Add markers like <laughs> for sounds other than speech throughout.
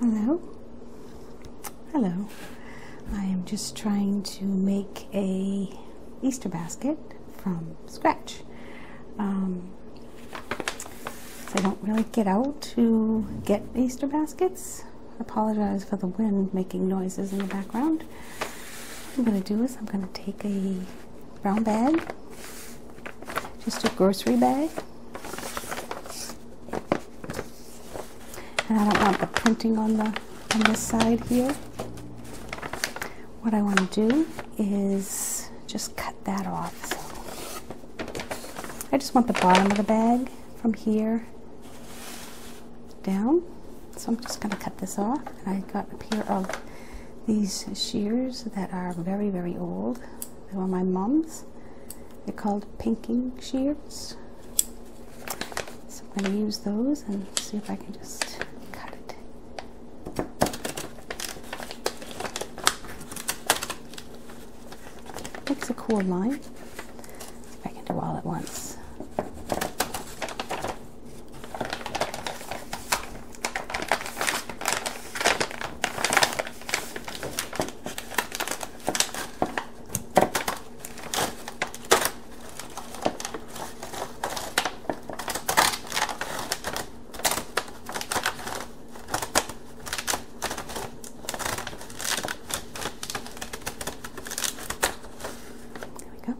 Hello. Hello. I am just trying to make a Easter basket from scratch. Um, I don't really get out to get Easter baskets. I apologize for the wind making noises in the background. I'm going to do is I'm going to take a brown bag, just a grocery bag. And I don't want the printing on the on this side here. What I want to do is just cut that off. I just want the bottom of the bag from here down. So I'm just going to cut this off. And I got a pair of these shears that are very, very old. They were my mom's. They're called pinking shears. So I'm going to use those and see if I can just cut it. That's a cool line. I can do all at once. There we go.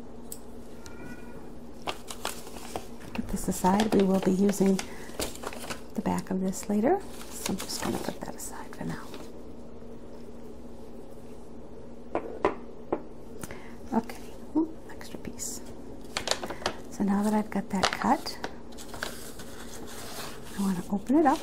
Put this aside. We will be using the back of this later, so I'm just going to put that aside for now. Okay, extra piece. So now that I've got that cut, I want to open it up.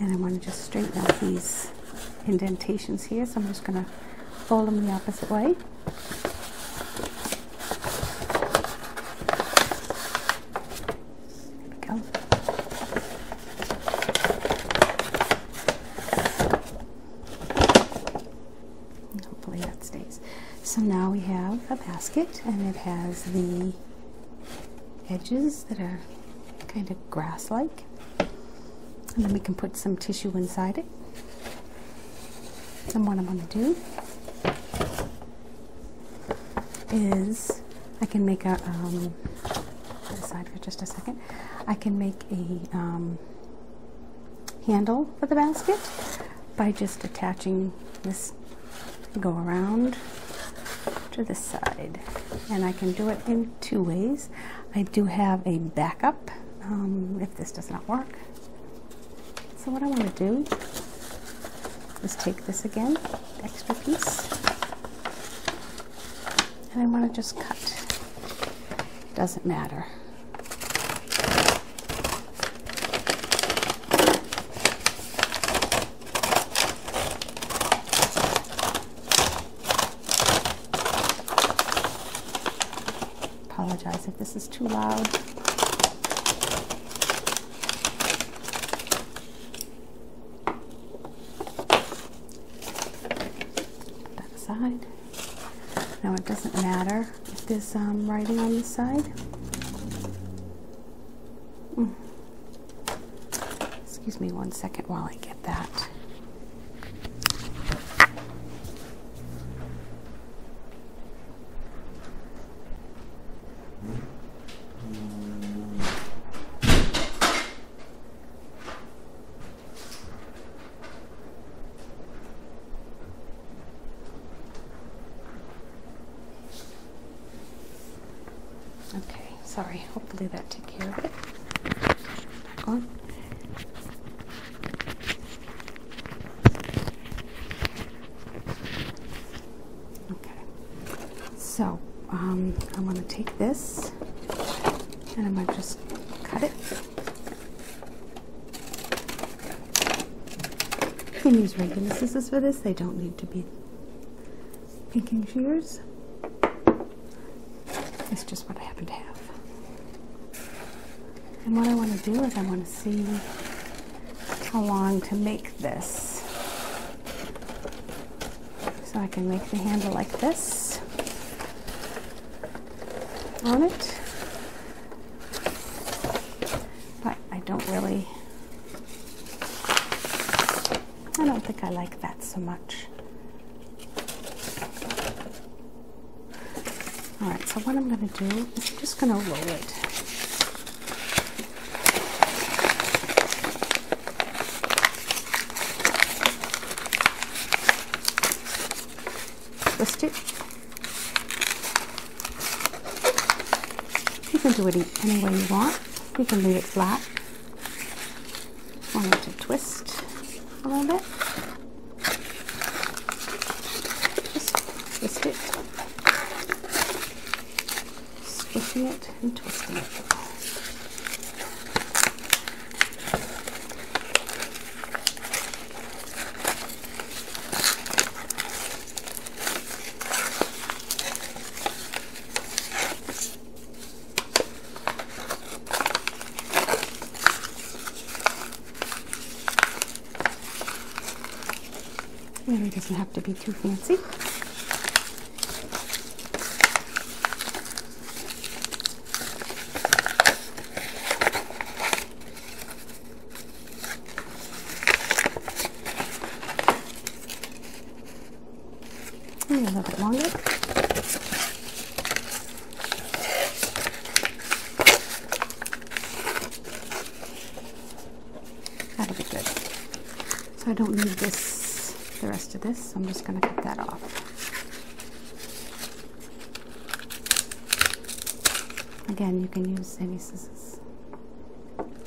and I want to just straighten out these indentations here so I'm just going to fold them the opposite way there we go hopefully that stays so now we have a basket and it has the edges that are kind of grass-like and then we can put some tissue inside it. And what I'm going to do is I can make a, um, aside for just a second, I can make a um, handle for the basket by just attaching this go around to this side. And I can do it in two ways. I do have a backup um, if this does not work. So what I want to do is take this again, extra piece, and I want to just cut. Doesn't matter. Apologize if this is too loud. That side. Now it doesn't matter if there's um, writing on the side. Hmm. Excuse me one second while I get that. Okay, sorry. Hopefully that took care of it. Okay, so I'm going to take this and I'm going to just cut it. You can use regular scissors for this, they don't need to be pinking shears. It's just what I happen to have. And what I want to do is I want to see how long to make this. So I can make the handle like this on it. But I don't really, I don't think I like that so much. All right, so what I'm going to do is I'm just going to roll it. Twist it. You can do it any way you want. You can leave it flat. I need to twist a little bit. Just twist it. Squishing it and twisting it. It doesn't have to be too fancy. a little bit longer. That'll be good. So I don't need this, the rest of this. I'm just going to cut that off. Again, you can use any scissors. Put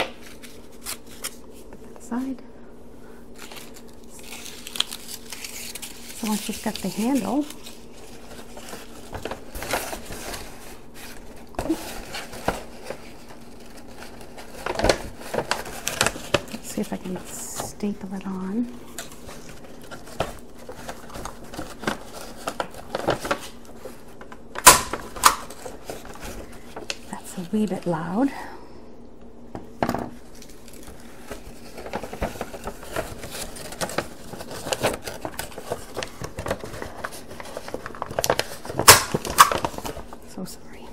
that aside. So once you've got the handle, Let's see if I can staple it on. That's a wee bit loud. So sorry.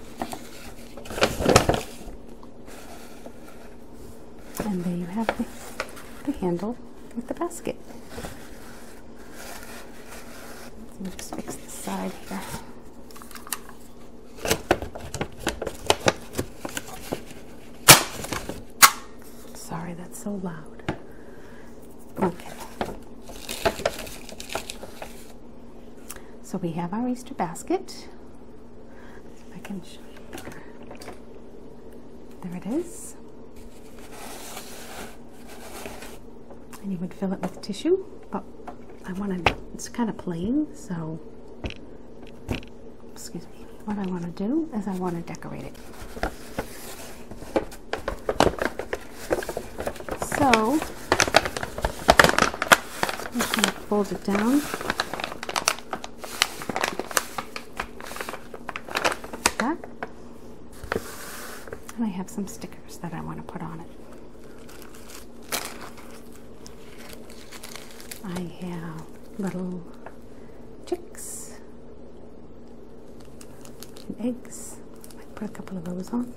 And there you have the, the handle with the basket. Let me just fix the side here. Sorry, that's so loud. Okay. So we have our Easter basket. I can show you there. There it is. And you would fill it with tissue, but oh, I want to, it's kind of plain, so excuse me, what I want to do is I want to decorate it. So, i fold it down. Like that. And I have some stickers that I want to put on it. I have little chicks and eggs. I put a couple of those on.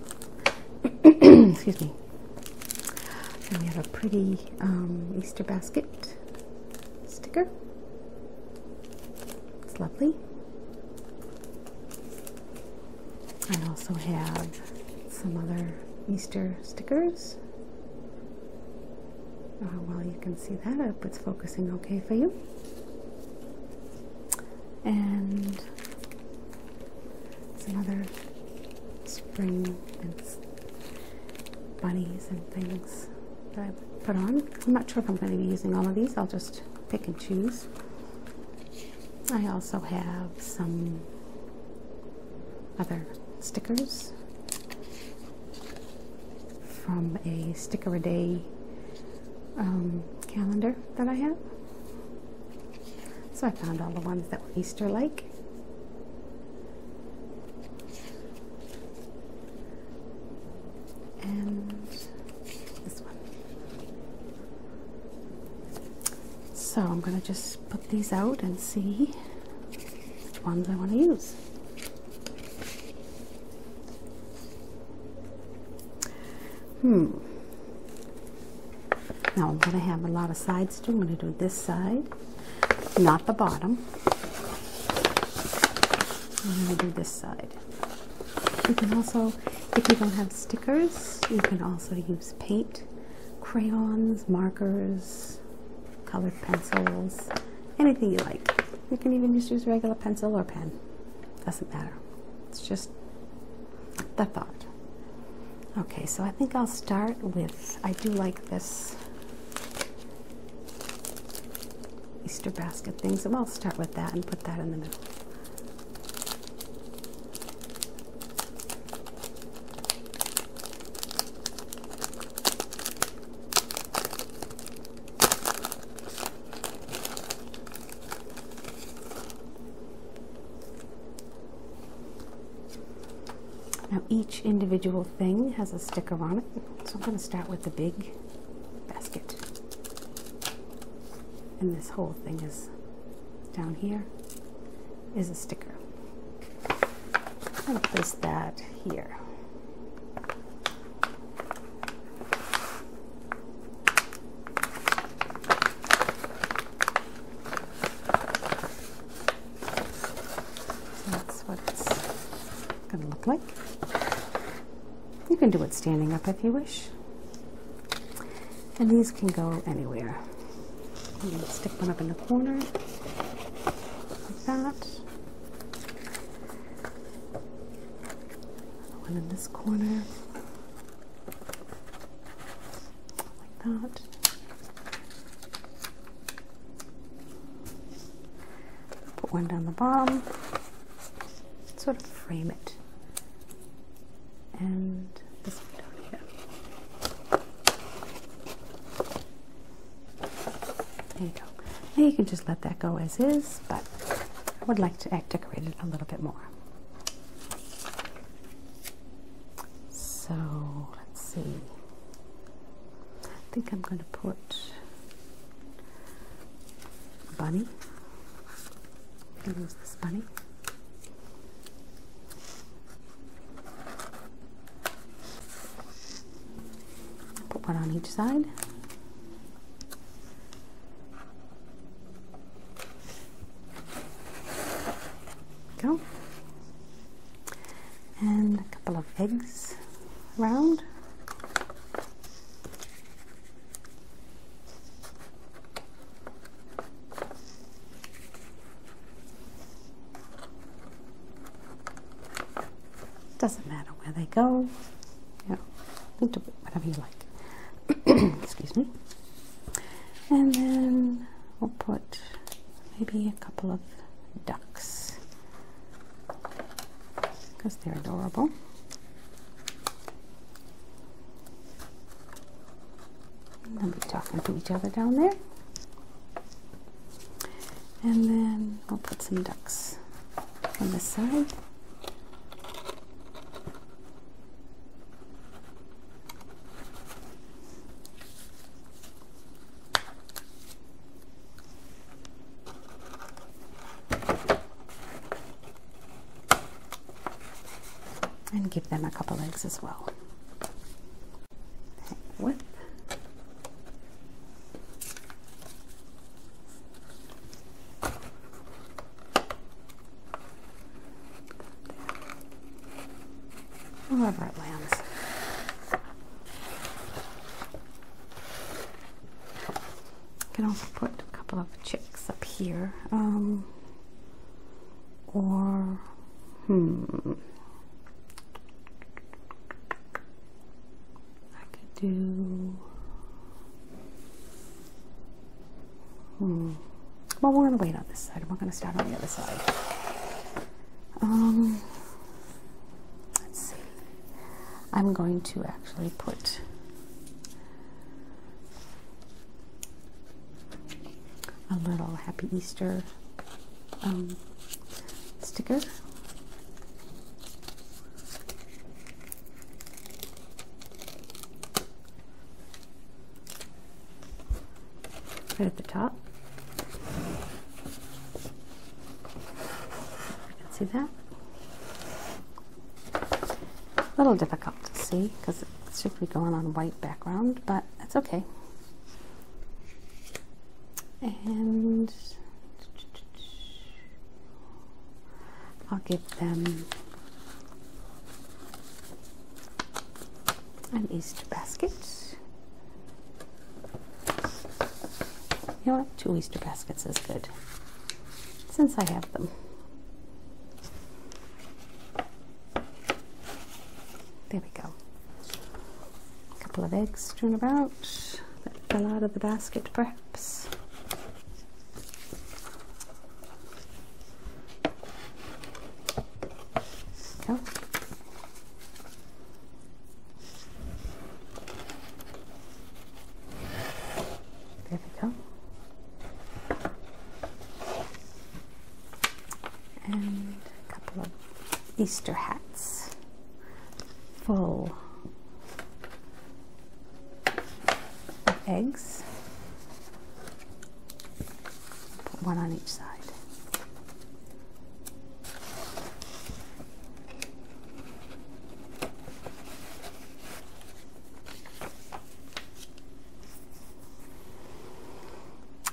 <coughs> Excuse me. And we have a pretty um, Easter basket sticker. It's lovely. I also have some other Easter stickers. Uh, well, you can see that up. It's focusing okay for you. And some other spring and bunnies and things that I put on. I'm not sure if I'm going to be using all of these. I'll just pick and choose. I also have some other stickers from a sticker a day um, calendar that I have. So I found all the ones that were Easter like. And this one. So I'm going to just put these out and see which ones I want to use. Hmm. Now I'm going to have a lot of sides too. I'm going to do this side, not the bottom. I'm going to do this side. You can also, if you don't have stickers, you can also use paint, crayons, markers, colored pencils, anything you like. You can even just use regular pencil or pen. Doesn't matter. It's just the thought. Okay, so I think I'll start with, I do like this Easter basket things, so I'll start with that and put that in the middle. Now each individual thing has a sticker on it, so I'm going to start with the big basket. And this whole thing is down here is a sticker. I'm going to place that here that's what it's going to look like. You can do it standing up if you wish. And these can go anywhere. You can stick one up in the corner like that. One in this corner, like that. Put one down the bottom, sort of frame it, and this one down here. There you go. Now you can just let that go as is, but I would like to decorate it a little bit more. So let's see. I think I'm going to put a bunny. Who is this bunny. Put one on each side. Go. And a couple of eggs round. Doesn't matter where they go. You know, do whatever you like. <clears throat> Excuse me. And then we'll put maybe a couple of ducks because they're adorable. They'll be talking to each other down there. And then I'll put some ducks on this side. And give them a couple eggs as well. What wherever it lands. You can also put a couple of chicks up here. Um, or, hmm. I could do. Hmm. Well, we're gonna wait on this side. We're gonna start on the other side. Um. Let's see. I'm going to actually put. A little Happy Easter um, sticker Right at the top. You can see that. A little difficult to see because it should be going on white background, but that's okay. And I'll give them an Easter basket. You know what? Two Easter baskets is good since I have them. There we go. A couple of eggs strewn about that fell out of the basket, perhaps. There we go. And a couple of Easter hats full of eggs. Put one on each side.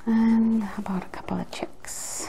And how about a couple of chicks?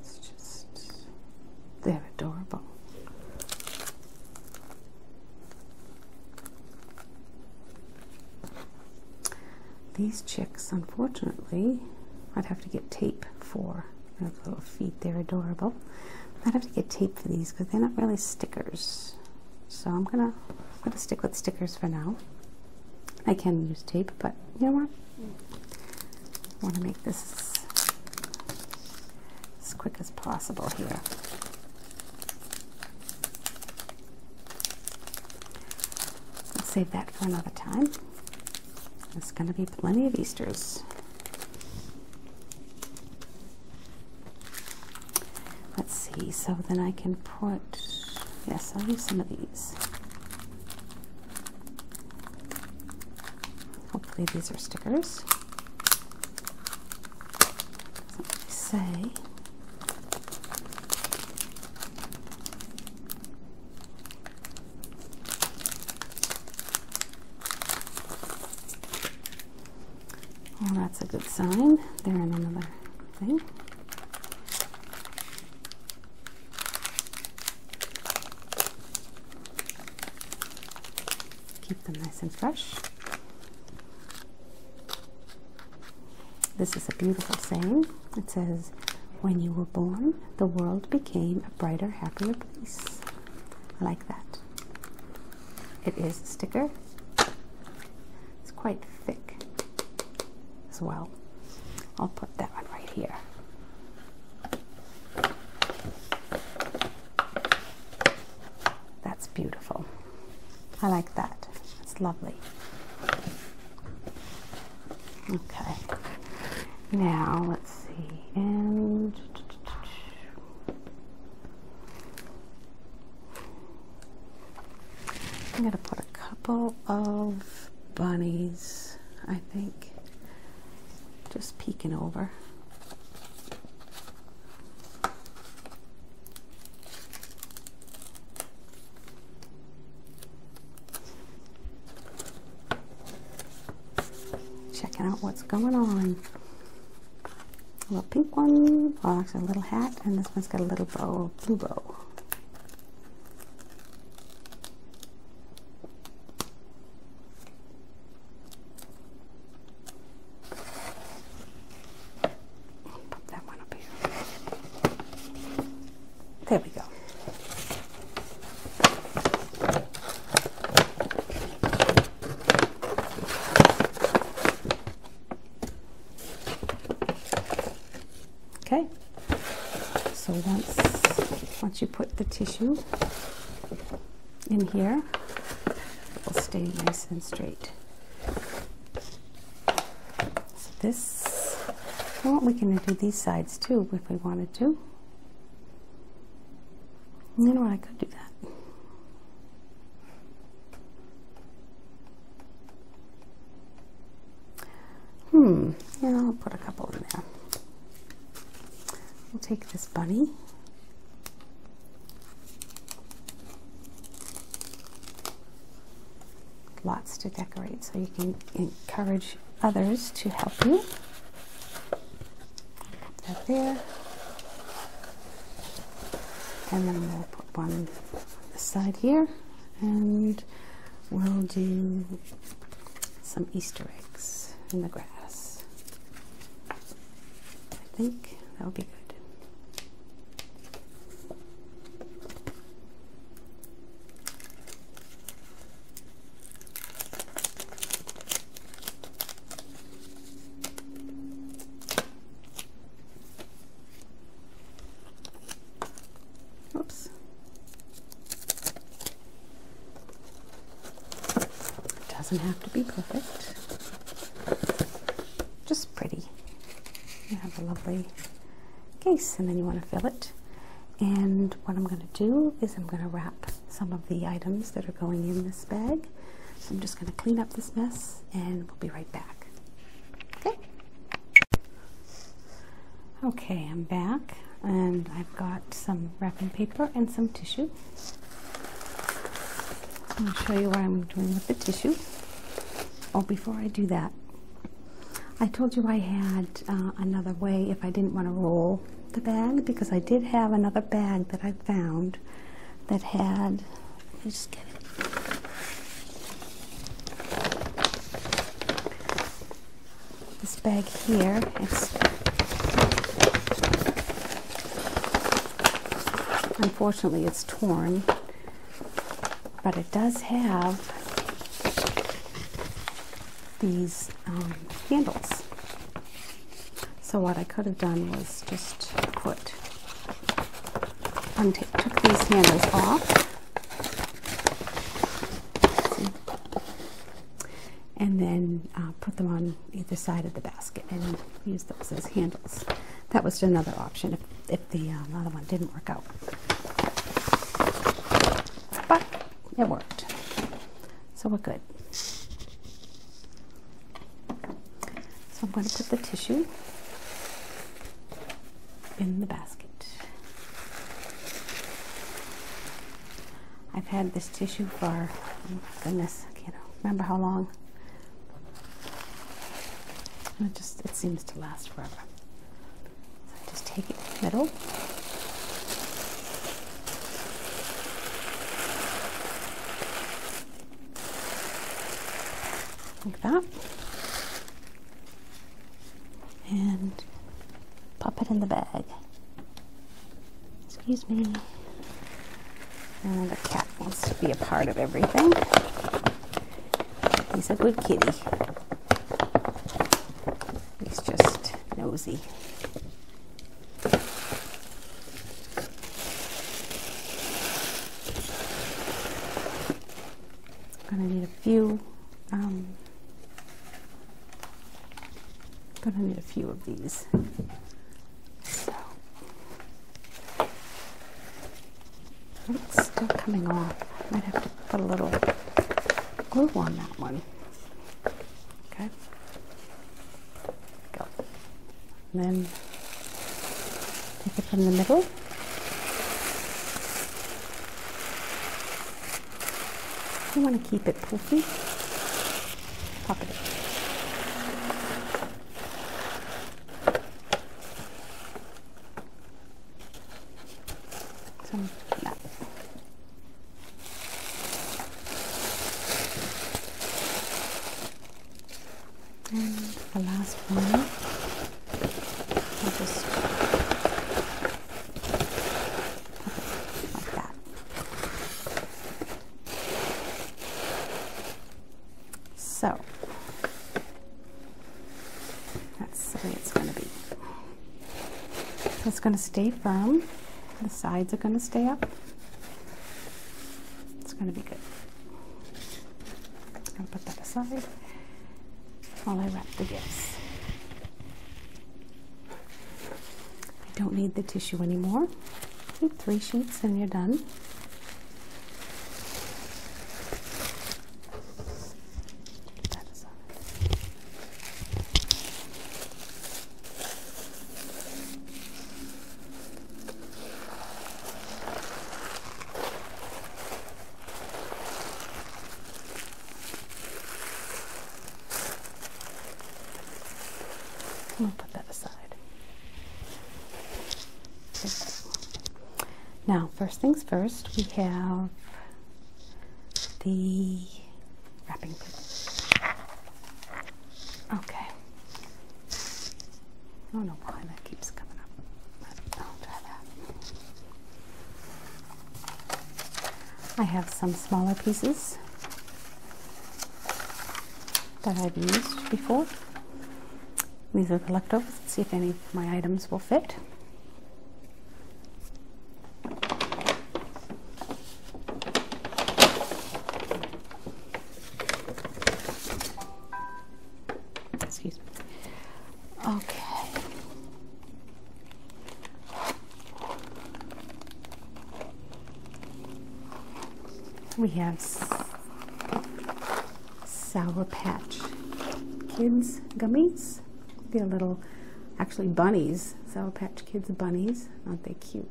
It's just, they're adorable. These chicks, unfortunately, I'd have to get tape for their little feet. They're adorable. I'd have to get tape for these because they're not really stickers. So I'm gonna, I'm gonna stick with stickers for now. I can use tape, but you know what? I want to make this as quick as possible here. I'll save that for another time. There's going to be plenty of Easters. Let's see, so then I can put, yes, I'll use some of these. Hopefully these are stickers. say. Well, that's a good sign. They're in another thing. Keep them nice and fresh. This is a beautiful saying. It says, When you were born, the world became a brighter, happier place. I like that. It is a sticker. It's quite thick as well. I'll put that one right here. That's beautiful. I like that. It's lovely. Okay. Now let's see. I'm going to put a couple of bunnies, I think just peeking over. Checking out what's going on. A little pink one, well actually a little hat, and this one's got a little bow, blue bow. Put that one up here. There we go. Okay, so once once you put the tissue in here will stay nice and straight. So this, well, we can do these sides too if we wanted to. You know what, I could do that. Hmm, yeah, I'll put a couple in there. We'll take this bunny. Lots to decorate so you can encourage others to help you. Put there. And then we'll put one on side here and we'll do some Easter eggs in the grass. I think that would be good. Oops. It doesn't have to be perfect. Just pretty. You have a lovely case and then you want to fill it. And what I'm going to do is I'm going to wrap some of the items that are going in this bag. I'm just going to clean up this mess and we'll be right back. Okay? Okay, I'm back and I've got some wrapping paper and some tissue. I'll show you what I'm doing with the tissue. Oh, before I do that, I told you I had uh, another way if I didn't want to roll the bag because I did have another bag that I found that had, let me just get it. This bag here, Unfortunately, it's torn, but it does have these um, handles. So what I could have done was just put, took these handles off, and then uh, put them on either side of the basket and use those as handles. That was another option if, if the uh, other one didn't work out. But it worked. So we're good. So I'm going to put the tissue in the basket. I've had this tissue for, goodness, I can't remember how long. It just, it seems to last forever. just take it in the middle. Like that. And pop it in the bag. Excuse me. Oh, the cat wants to be a part of everything. He's a good kitty. He's just nosy. Gonna need a few. Um, gonna need a few of these it's still coming off. I might have to put a little glue on that one. Okay. Go. And then take it from the middle. You want to keep it poofy. Pop it in. Some that. And the last one, I'll just like that. So that's the way it's going to be. it's going to stay firm. The sides are going to stay up. It's going to be good. I'm going to put that aside while I wrap the gifts. I don't need the tissue anymore. three sheets and you're done. put that aside. Now, first things first, we have the wrapping paper. Okay. I have some smaller pieces that I've used before. These are collectibles. Let's see if any of my items will fit. Excuse me. Okay. We have Sour Patch Kids gummies. They're little, actually bunnies, Sour Patch Kids bunnies. Aren't they cute?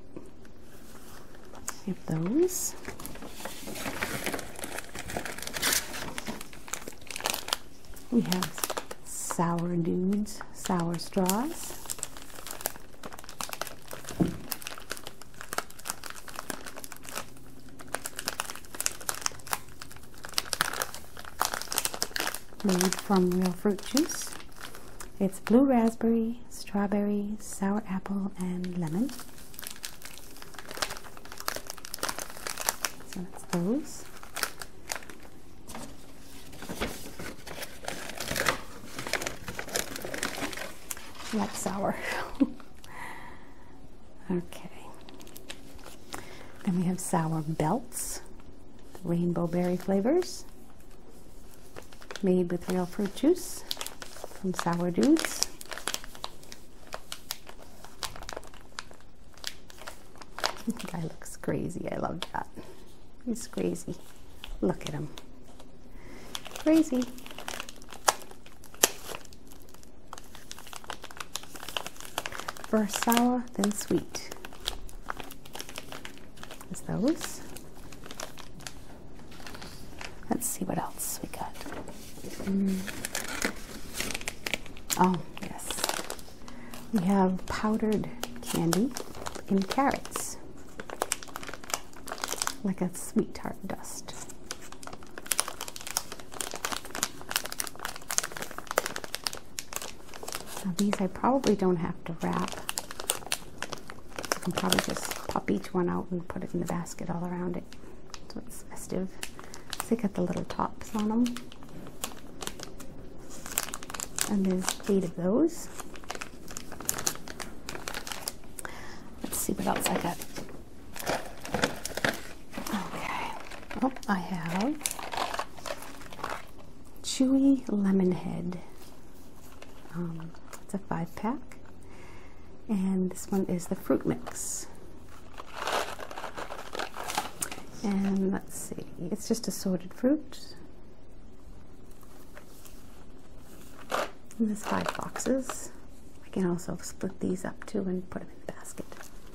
We have those. We have sour dudes, sour straws. Made from real fruit juice. It's blue raspberry, strawberry, sour apple, and lemon. So that's those. I like sour. <laughs> okay. Then we have sour belts, rainbow berry flavors, made with real fruit juice from Sour Dudes. <laughs> guy looks crazy. I love that. He's crazy. Look at him. Crazy. First sour, then sweet. Is those. Let's see what else we got. Mm. Oh, yes. We have powdered candy in carrots like a sweetheart dust. Now these I probably don't have to wrap. I can probably just pop each one out and put it in the basket all around it. So it's festive. They got the little tops on them. And there's eight of those. Let's see what else I got. Okay. Oh, I have Chewy Lemon Head. Um, it's a five pack. And this one is the fruit mix. And let's see, it's just assorted fruit. And there's five boxes. I can also split these up too and put them in the basket.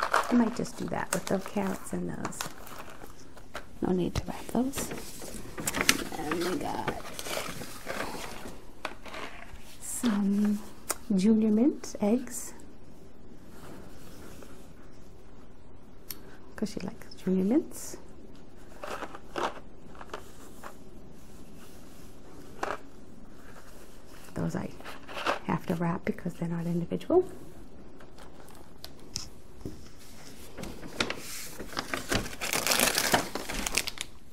I might just do that with the carrots in those. No need to wrap those. And we got some junior mint eggs. Because she likes junior mints. Those I have to wrap because they're not individual.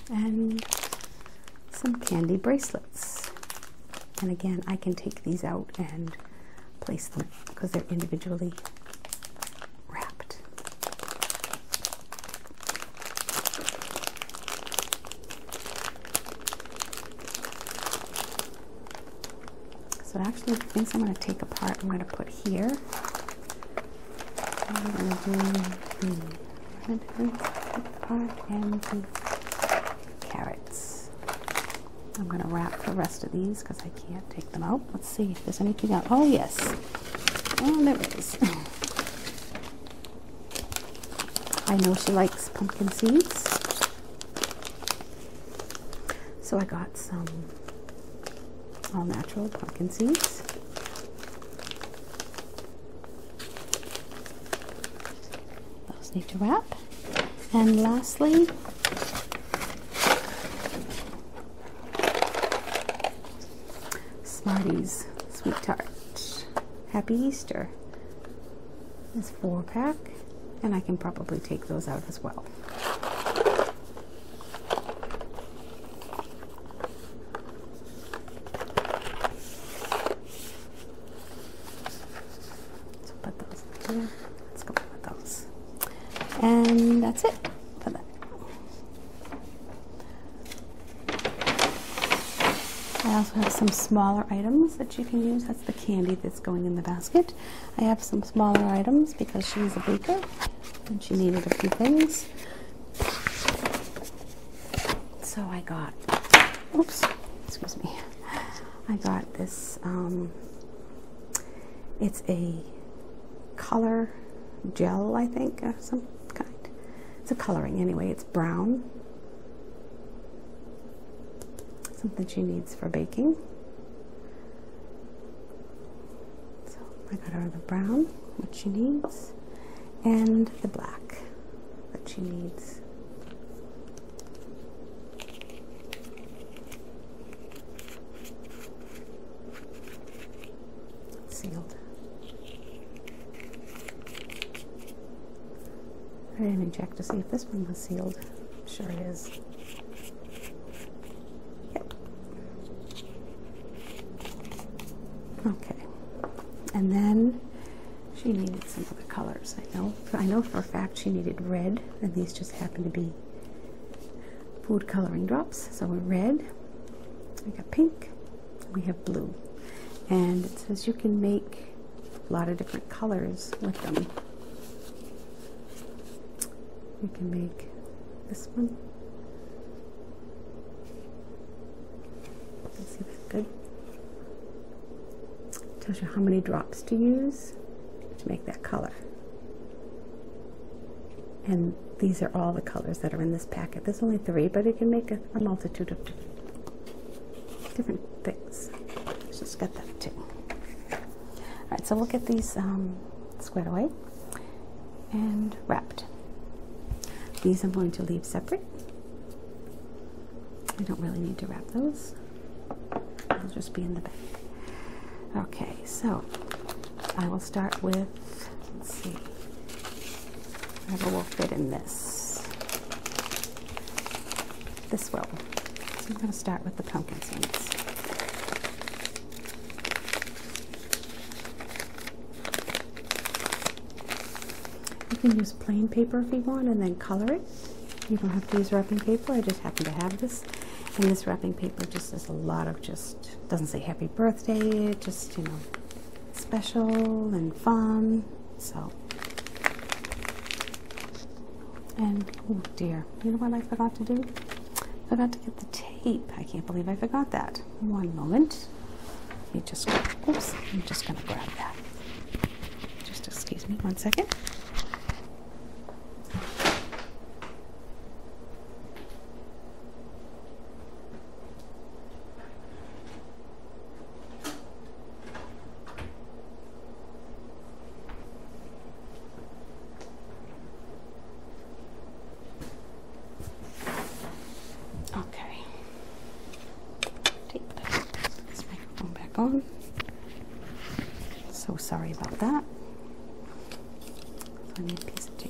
And some candy bracelets. And again, I can take these out and place them because they're individually wrapped. So actually the things I'm going to take apart, I'm going to put here. I'm going to do the red and the carrots. I'm going to wrap the rest of these because I can't take them out. Let's see see anything else. Oh, yes. Oh, there it is. <laughs> I know she likes pumpkin seeds. So I got some all natural pumpkin seeds. Those need to wrap. And lastly, Smarties Sweet Tart. Happy Easter. This four pack, and I can probably take those out as well. So put those in Let's go with those. And that's it for that. I also have some smaller items that you can use. That's the candy that's going in the basket. I have some smaller items because she's a baker and she needed a few things. So I got, oops, excuse me. I got this, um, it's a color gel, I think, of some kind. It's a coloring anyway, it's brown. Something she needs for baking. So I got her the brown, which she needs, and the black that she needs sealed. I didn't check to see if this one was sealed. sure it is. Yep. Okay. And then she needed some other colors. I know. I know for a fact she needed red, and these just happen to be food coloring drops. So we're red. We got pink we have blue. And it says you can make a lot of different colors with them. You can make this one. see if good. It tells you how many drops to use to make that color. And these are all the colors that are in this packet. There's only three, but you can make a, multitude of different, things. just got that too. All right, so we'll get these um, squared away and wrapped. These I'm going to leave separate. I don't really need to wrap those. They'll just be in the bag. Okay, so I will start with Let's see. Whatever will fit in this. This will. So I'm going to start with the pumpkin seeds. You can use plain paper if you want and then color it. You don't have to use wrapping paper. I just happen to have this. And this wrapping paper just is a lot of just, doesn't say happy birthday, just, you know, special and fun. So, and oh dear, you know what I forgot to do? Forgot to get the tape. I can't believe I forgot that. One moment. You just, oops, I'm just gonna grab that. Just excuse me one second. Okay. Take this microphone back on. So sorry about that. So piece of tape.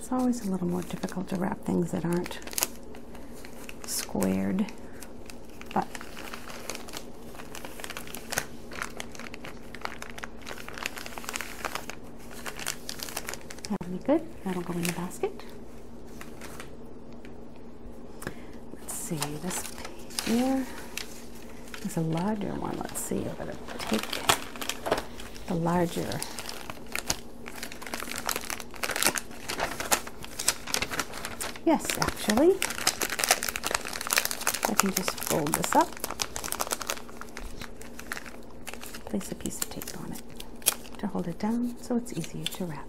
It's always a little more difficult to wrap things that aren't squared, but That'll be good. That'll go in the basket. Let's see, this page here is a larger one. Let's see, I'm going to take the larger Yes, actually. I can just fold this up, place a piece of tape on it to hold it down so it's easier to wrap.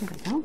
There we go.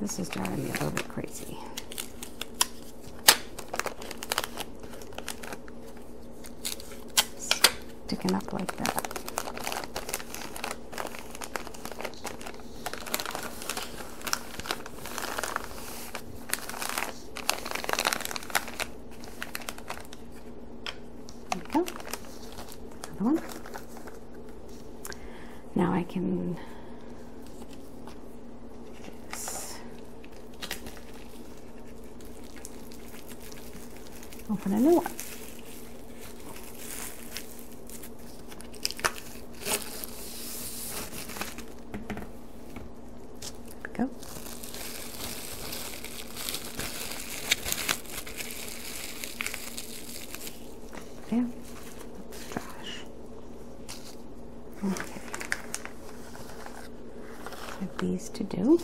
this is driving me a little bit crazy. Sticking up like that. There we go. Another one. Now I can open a new one. Go. Yeah, that's trash. Okay. Have these to do.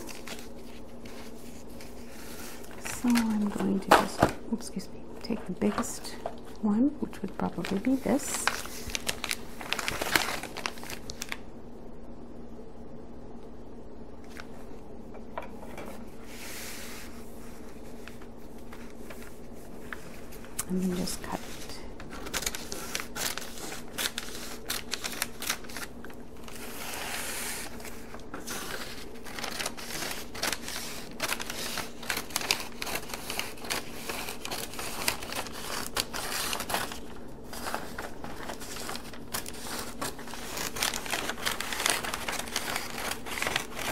So I'm going to just, excuse me, take the biggest one, which would probably be this and then just cut it.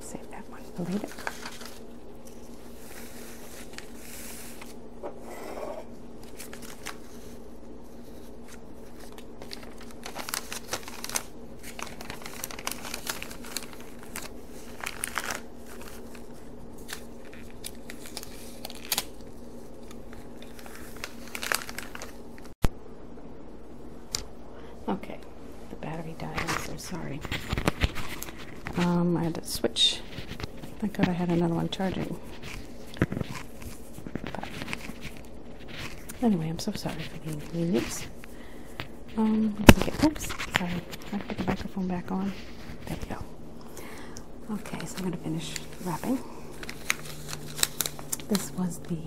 Save that one for later. Okay, the battery died. I'm so sorry. Um, I had to switch. Thank God I had another one charging. Anyway, I'm so sorry for the inconvenience. Um, okay, oops, sorry. I put the microphone back on. There we go. Okay, so I'm going to finish wrapping. This was the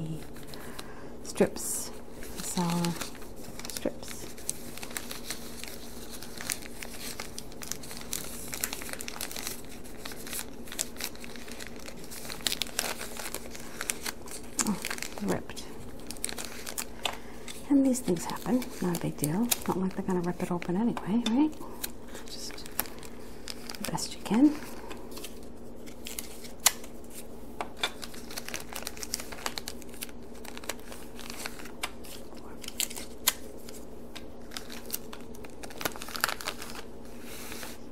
strips, the strips. Oh, ripped. And these things happen, not a big deal. Not like they're gonna rip it open anyway, right? Just the best you can.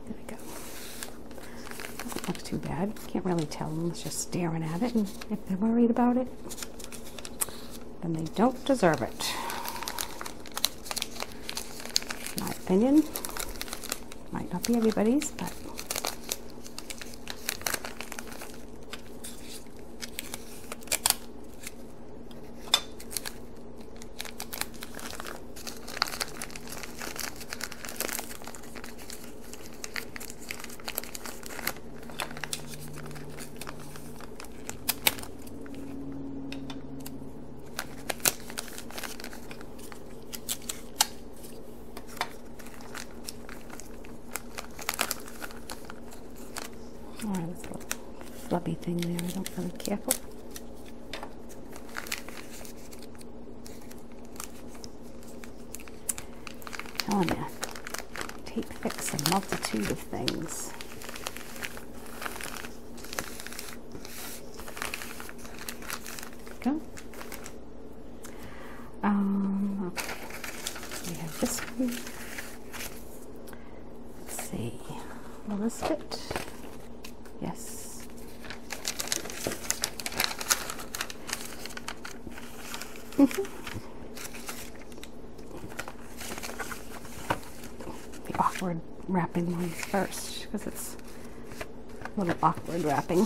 There we go. Doesn't look too bad. Can't really tell unless you just staring at it, and if they're worried about it, then they don't deserve it. My opinion might not be everybody's, but Or this little flubby thing there, I don't really care for. Now I'm fix a multitude of things. Go. Um, We have this one. Let's see. Will this fit? Yes. <laughs> the awkward wrapping ones first because it's a little awkward wrapping.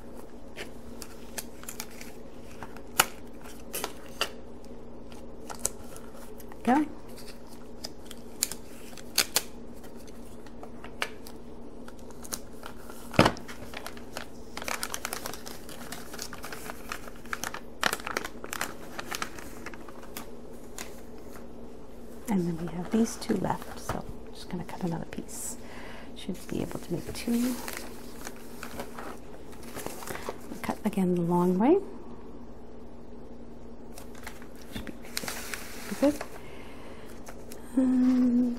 Okay. And then we have these two left, so. Just gonna cut another piece. Should be able to make two. Cut again the long way. Should be good. And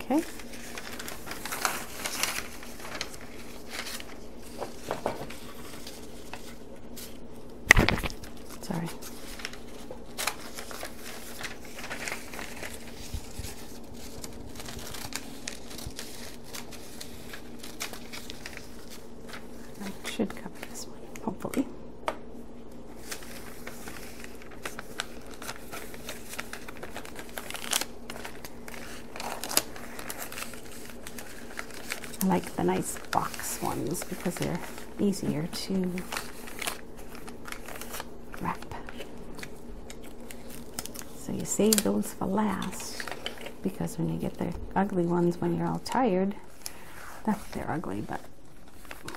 Okay. Sorry. I should cover this one, hopefully. I like the nice box ones because they're easier to wrap. So you save those for last because when you get the ugly ones when you're all tired, that's they're ugly, but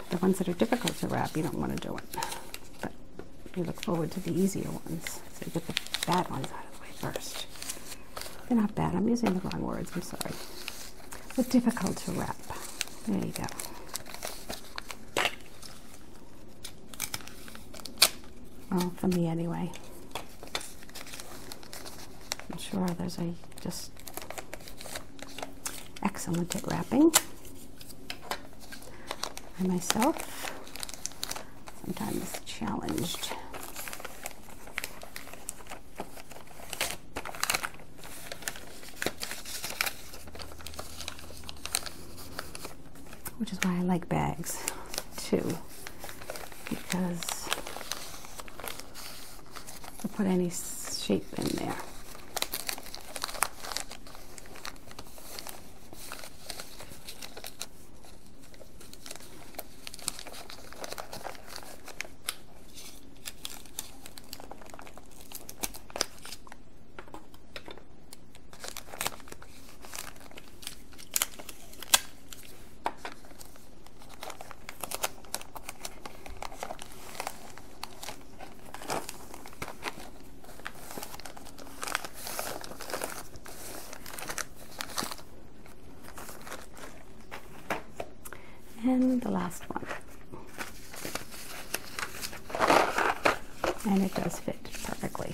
the ones that are difficult to wrap, you don't want to do it. But you look forward to the easier ones. So you get the bad ones out of the way first. They're not bad. I'm using the wrong words. I'm sorry. They're difficult to wrap. There you go. Well, for me anyway. I'm sure there's a just excellent at wrapping. I myself sometimes challenged. Which is why I like bags two because I put any shape in there and the last one and it does fit perfectly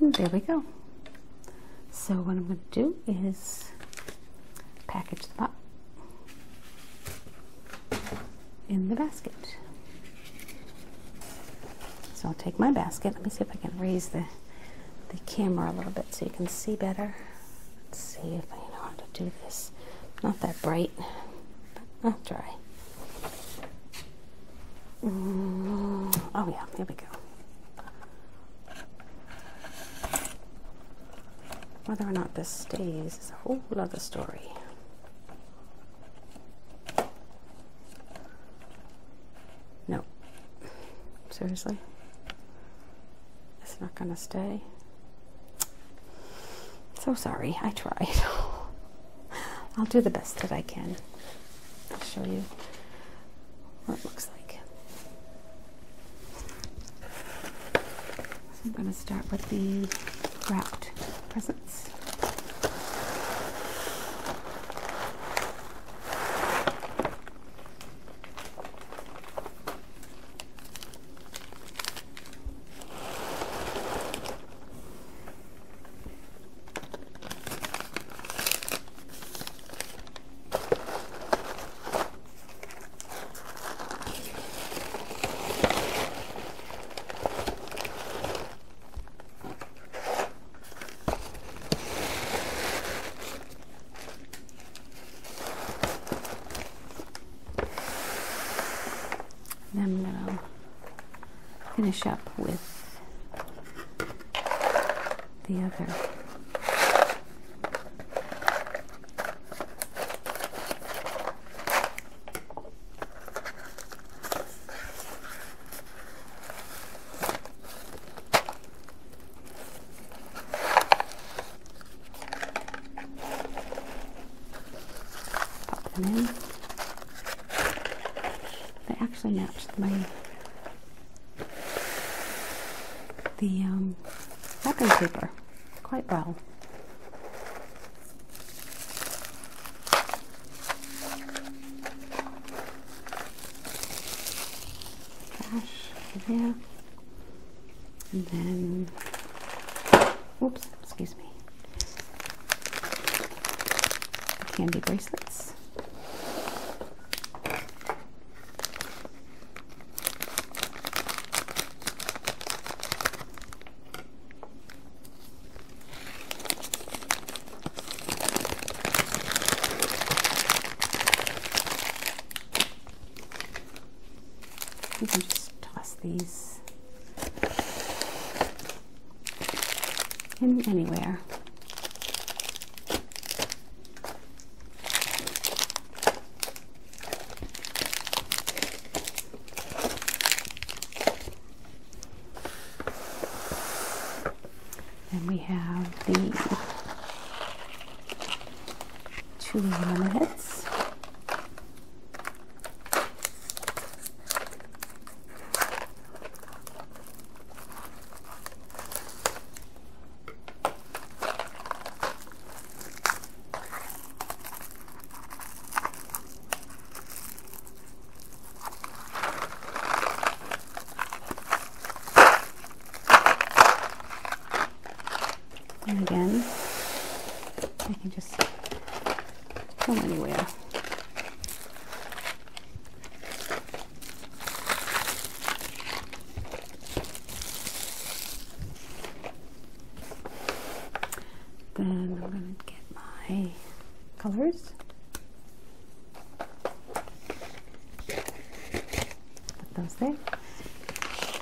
And there we go. So what I'm going to do is package them up in the basket. So I'll take my basket. Let me see if I can raise the, the camera a little bit so you can see better. Let's see if I know how to do this. Not that bright, but I'll try. Mm, oh yeah, there we go. Whether or not this stays is a whole other story. No. Seriously? It's not going to stay. So sorry, I tried. <laughs> I'll do the best that I can. I'll show you what it looks like. I'm going to start with the wrapped presents. And I'm gonna finish up with the other. They actually matched my the wrapping um, paper quite well. Brush there. And then, oops, excuse me. Candy bracelets. You can just toss these in anywhere. And we have the two lemonheads. And again, I can just go anywhere. Then I'm going to get my colors. Put those there.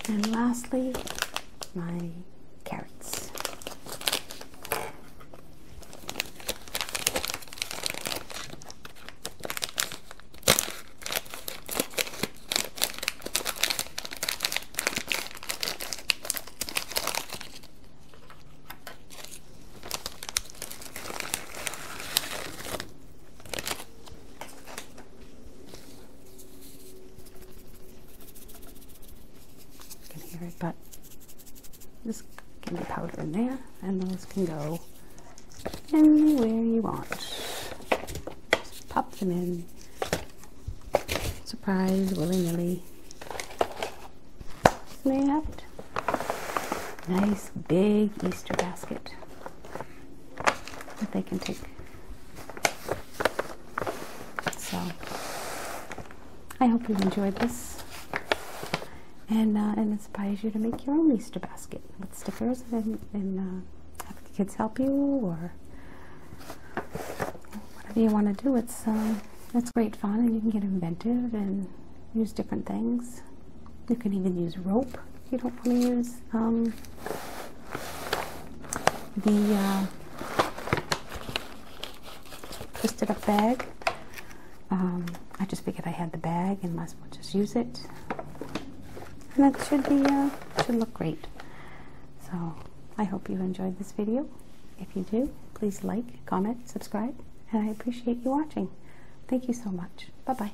And lastly, my carrots. You can hear it, but this can be powder in there, and those can go anywhere you want. Just pop them in. Surprise, willy-nilly. There you have it. Nice big Easter basket that they can take. So I hope you enjoyed this and uh, it inspires you to make your own Easter basket with stickers and, uh, have the kids help you or whatever you want to do. It's um, that's great fun and you can get inventive and use different things. You can even use rope if you don't want to use um, the uh, twisted up bag. Um, I just figured I had the bag and might as well just use it. And that should be uh, should look great. So I hope you enjoyed this video. If you do, please like, comment, subscribe, and I appreciate you watching. Thank you so much. Bye bye.